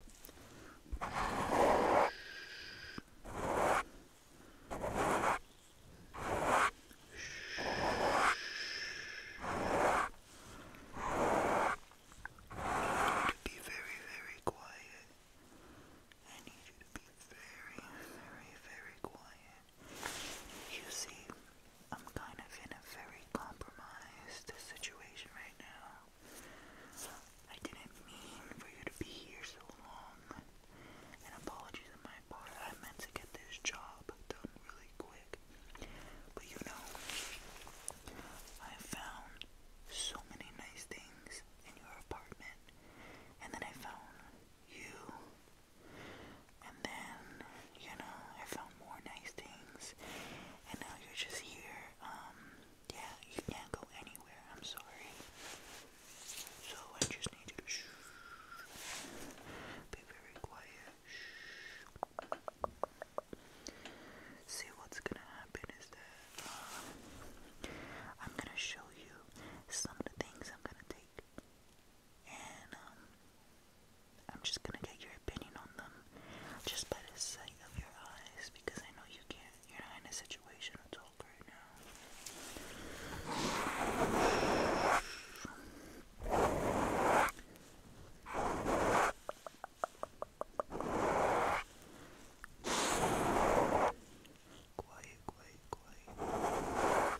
be very, very quiet. I need you to be very, very, very quiet. You see, I'm kind of in a very compromised situation right now. I didn't mean for you to be here so long. And apologies on my part. I meant to get this job done really quick. But you know, I found so many nice things in your apartment. And then I found you. And then, you know, I found more nice things. And now you're just here, um, yeah, you can't go anywhere. I'm sorry. So I just need you to Be very quiet. See, what's gonna happen is that um, I'm gonna show you some of the things I'm gonna take, and um, I'm just gonna get your opinion on them just by the sight of your eyes because I know you can't. You're not in a situation to talk right now. Quiet, quiet, quiet.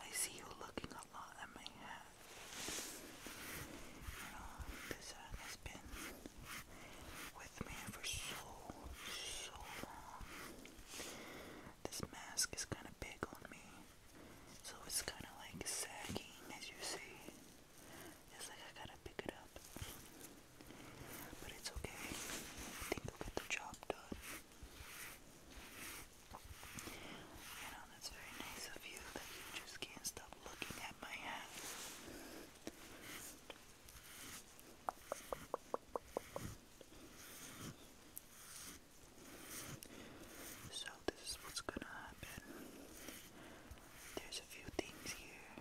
I see you looking a lot at my hat. You uh, know, this hat has been with me for so, so long. This mask is kind of big on me, so it's kind of like sagging as you see. It's like I gotta pick it up. But it's okay. I think I'll get the job done. You know, that's very nice of you that you just can't stop looking at my hat. So, this is what's gonna happen. There's a few things here.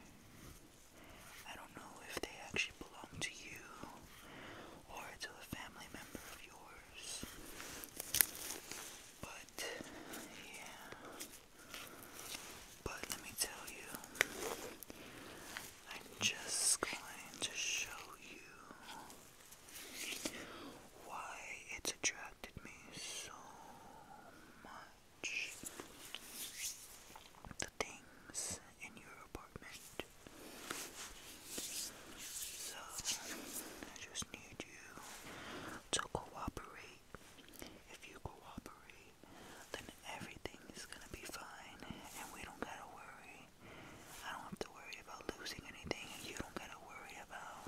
I don't know if they actually belong to you or to a family member of yours. But, yeah. But let me tell you, I'm just going to show you why it's attracted me so much. The things in your apartment so, I just need you to cooperate. If you cooperate, then everything is gonna be fine, and we don't gotta worry. I don't have to worry about losing anything, and you don't gotta worry about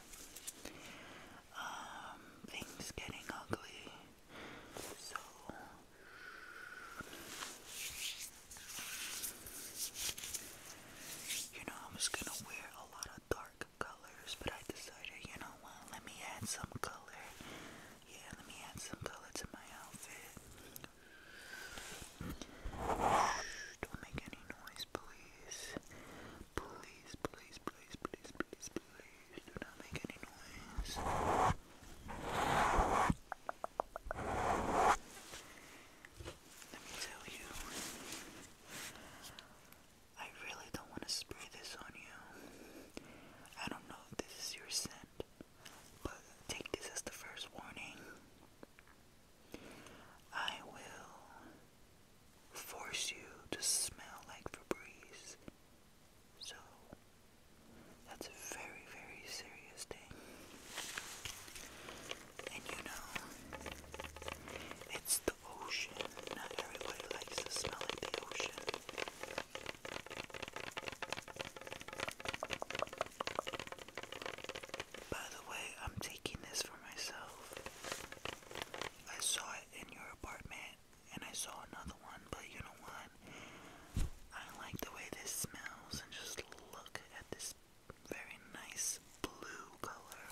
um, things getting ugly. So, you know, I was gonna wear a lot of dark colors, but I decided, you know what, let me add some color. Yeah, let me add some color to my outfit. don't make any noise, please. Please, please, please, please, please, please. Do not make any noise. Let me tell you, I really don't want to spray this on you. I don't know if this is your scent, but take this as the first warning. I will force you to smell like Febreze. So, that's a very, very serious thing. And you know, it's the ocean. Not everybody likes the smell of the ocean. By the way, I'm taking this for myself. I saw it in your apartment and I saw another one, but you know what? I like the way this smells and just look at this very nice blue color.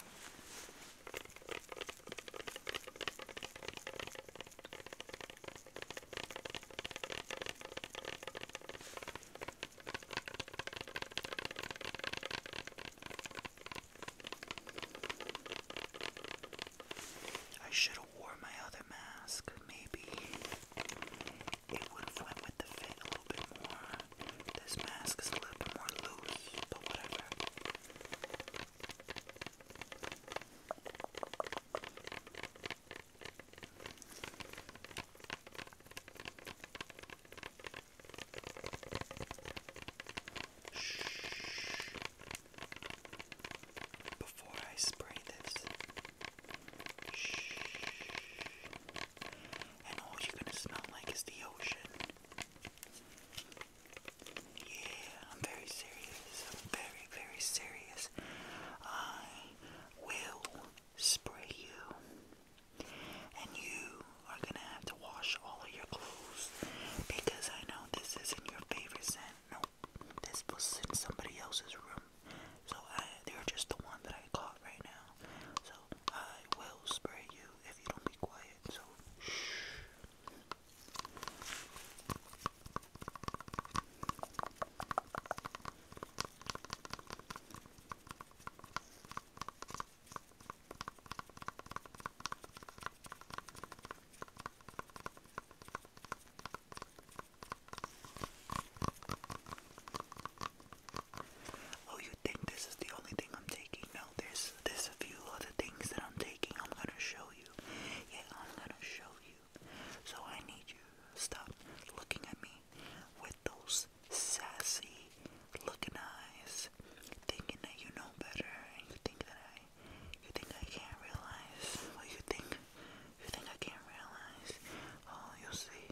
I should have worn my other mask. Maybe it would have went with the fit a little bit more. This mask is a little bit more loose, but whatever. Before I spray this, and all you're gonna smell like is the ocean. Yeah, I'm very serious. I'm very, very serious. I will spray you, and you are gonna have to wash all of your clothes because I know this isn't your favorite scent. Nope, this was in somebody else's room. So I, they're just the one that I caught right now. So I will spray you if you don't be quiet. So shh. Oh, you think this is the only thing I'm taking? No, there's there's a few other things that I'm taking. I'm gonna show you. Yeah, I'm gonna show you. So I need you stop looking at me with those sassy looking eyes, thinking that you know better, and you think that I, you think I can't realize. Well, oh, you think, you think I can't realize. Oh, you see.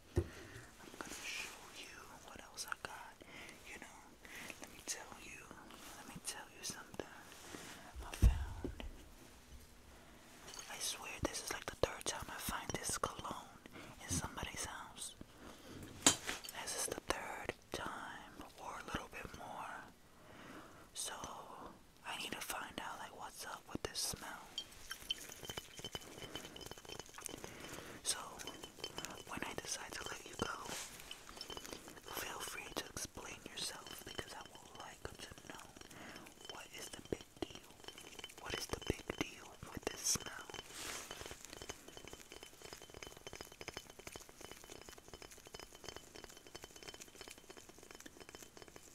I'm gonna show you what else I got. You know, let me tell you, let me tell you something. I found, I swear, this is like the third time I find this cologne in somebody's house. This is the third time, or a little bit more. So, I need to find out, like, what's so, when I decide to let you go, feel free to explain yourself because I would like to know what is the big deal. What is the big deal with this smell?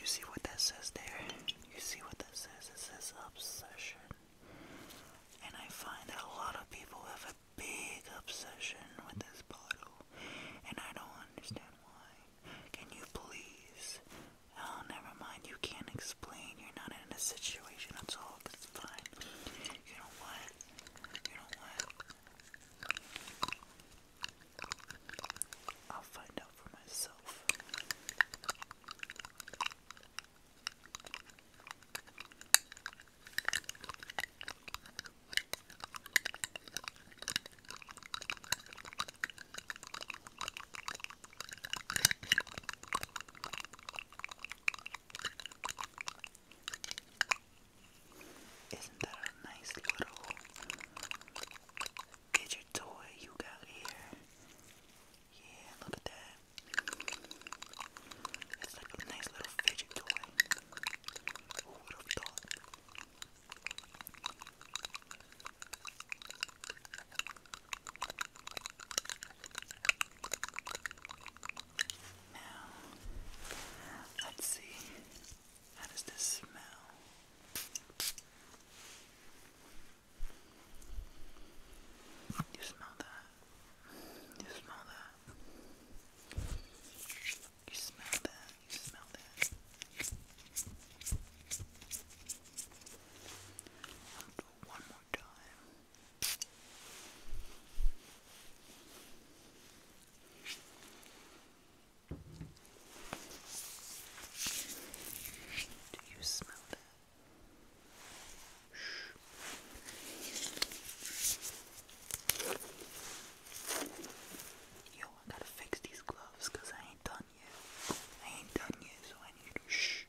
You see what that says there? You see what that says? It says obsession. And I find that a lot of people have a big obsession with this bottle. And I don't understand why. Can you please Oh, never mind. You can't explain. You're not in a situation at all. That's fine. You know what? You know what? I'll find out for myself. Isn't that a nice little gadget toy you got here? Yeah, look at that. It's like a nice little fidget toy. Who would have thought? Now, let's see. How does this smell? You smell that? You smell that? You smell that? You smell that? One more more Do you smell that? Yo, I gotta fix these gloves I ain't done yet. I ain't done yet, so I need to shh.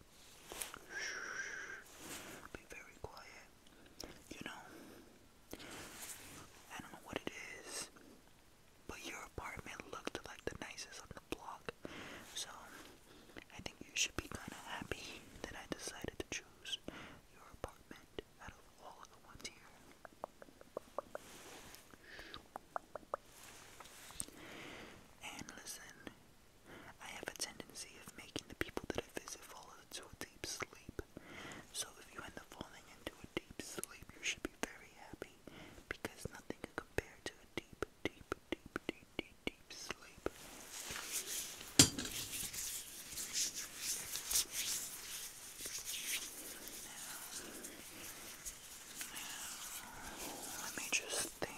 Be very quiet. You know, I don't know what it is, but your apartment looked like the nicest on the block. So, I think you should be kind of happy that I decided to choose your apartment out of all of the ones here. And listen, I have a tendency of making the people that I visit fall into a deep sleep. So if you end up falling into a deep sleep, you should be very happy because nothing can compare to a deep, deep, deep, deep, deep, sleep. let me just think.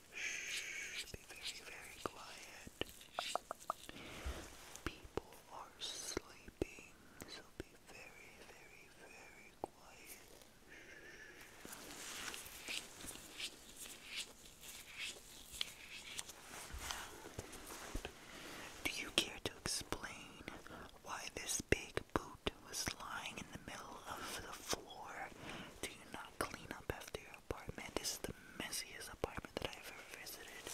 Shh, be very, very quiet. People are sleeping, so be very, very, very quiet. Do you care to explain why this big boot was lying in the middle of the floor? Do you not clean up after your apartment. This is the messiest apartment that I have ever visited.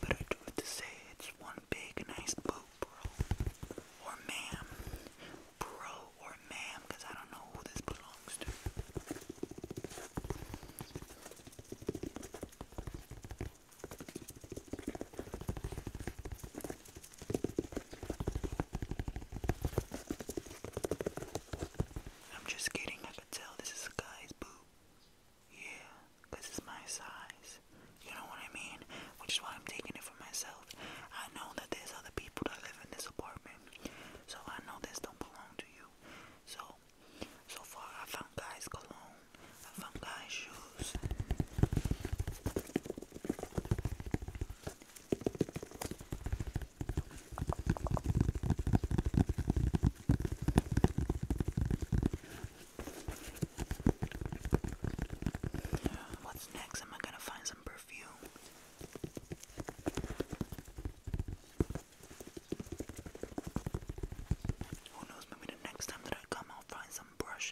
But I do have to say, it's one big nice boat, bro. Or ma'am. Bro or ma'am, because I don't know who this belongs to. I'm just kidding, I could tell this is a guy's boob. Yeah, it's my size. You know what I mean? Which is why I'm taking it for myself. I know that there's other people that live in this apartment. So I know this don't belong to you. So so far I found guys cologne fungi What's next? Am I gonna find some perfume? Who knows? Maybe the next time that I come, I'll find some brush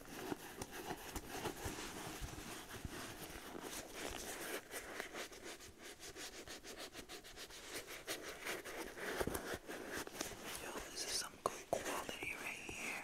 Yo, this is some good quality right here.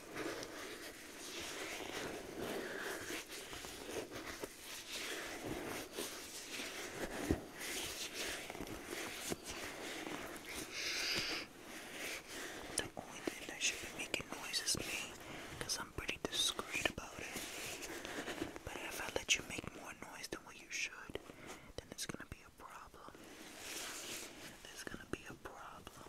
The only thing should be making noise is I'm pretty discreet about it. But if I let you make more noise than what you should, then it's gonna be a problem. There's gonna be a problem.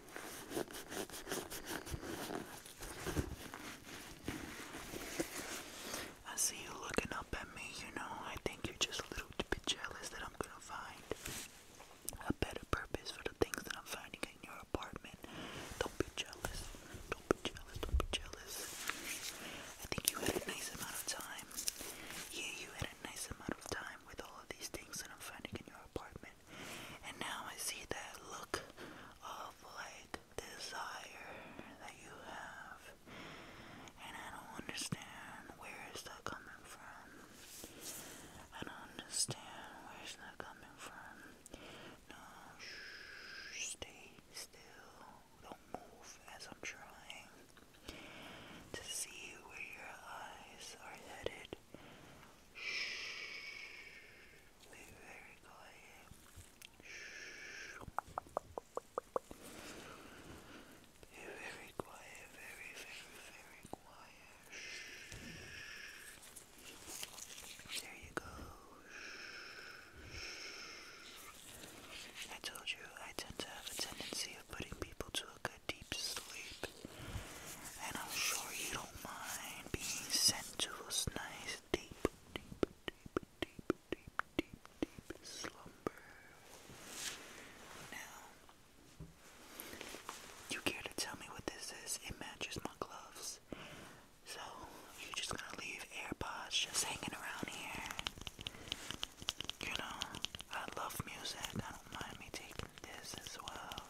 I see you looking up at me, you know. I think you're just a little bit jealous that I'm gonna find a better purpose for the things that I'm finding in your apartment. Don't be jealous. Don't be jealous. Don't be jealous. I think you had a nice amount of time. Yeah, you had a nice amount of time with all of these things that I'm finding in your apartment. And now I see that look of like desire that you have. And I don't understand where is that coming from. I don't understand where is that coming from. No, shh, stay still. Don't move as I'm trying to see where your eyes are headed. Shh. Be very quiet. Shh. Be very quiet, very, very, very quiet. Shh. There you go. Shh. I told you I tend to have a tendency of putting people to a deep sleep, and I'm sure you don't mind being sent to those nice deep, deep, deep, deep, deep, deep slumber. Now, you care to tell me what this is? It matches my gloves. So, you're just gonna leave AirPods just hanging around here. You know, I love music. I don't mind me taking this as well.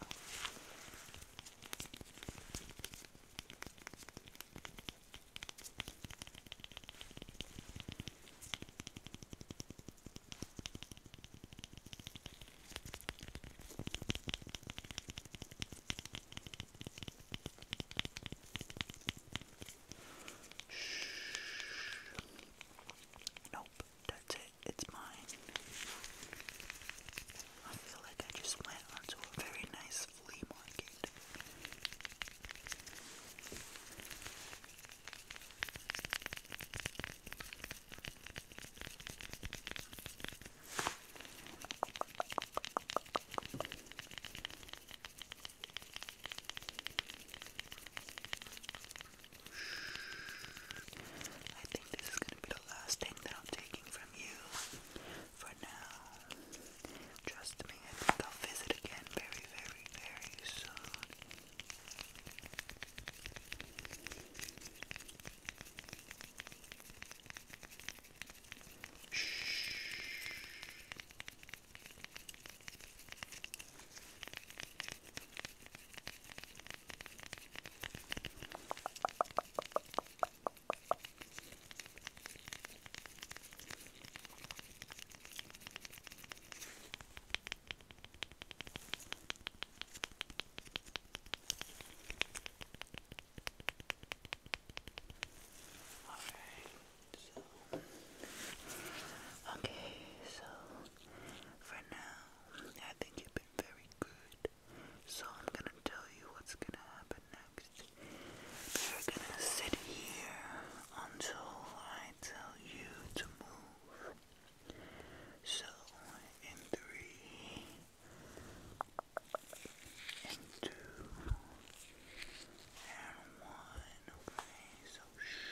Shh. Nope. That's it, it's mine. I feel like I just went onto a very nice flea market. I think this is going to be the last thing that I'm taking from you for now. Trust me, I will visit again very, very, very soon. Shh. Alright, okay, so for now, I think you've been very good. So I'm gonna tell you what's gonna happen next. You're gonna sit here until I tell you to move. So in three, in two, and one. Okay, so shh.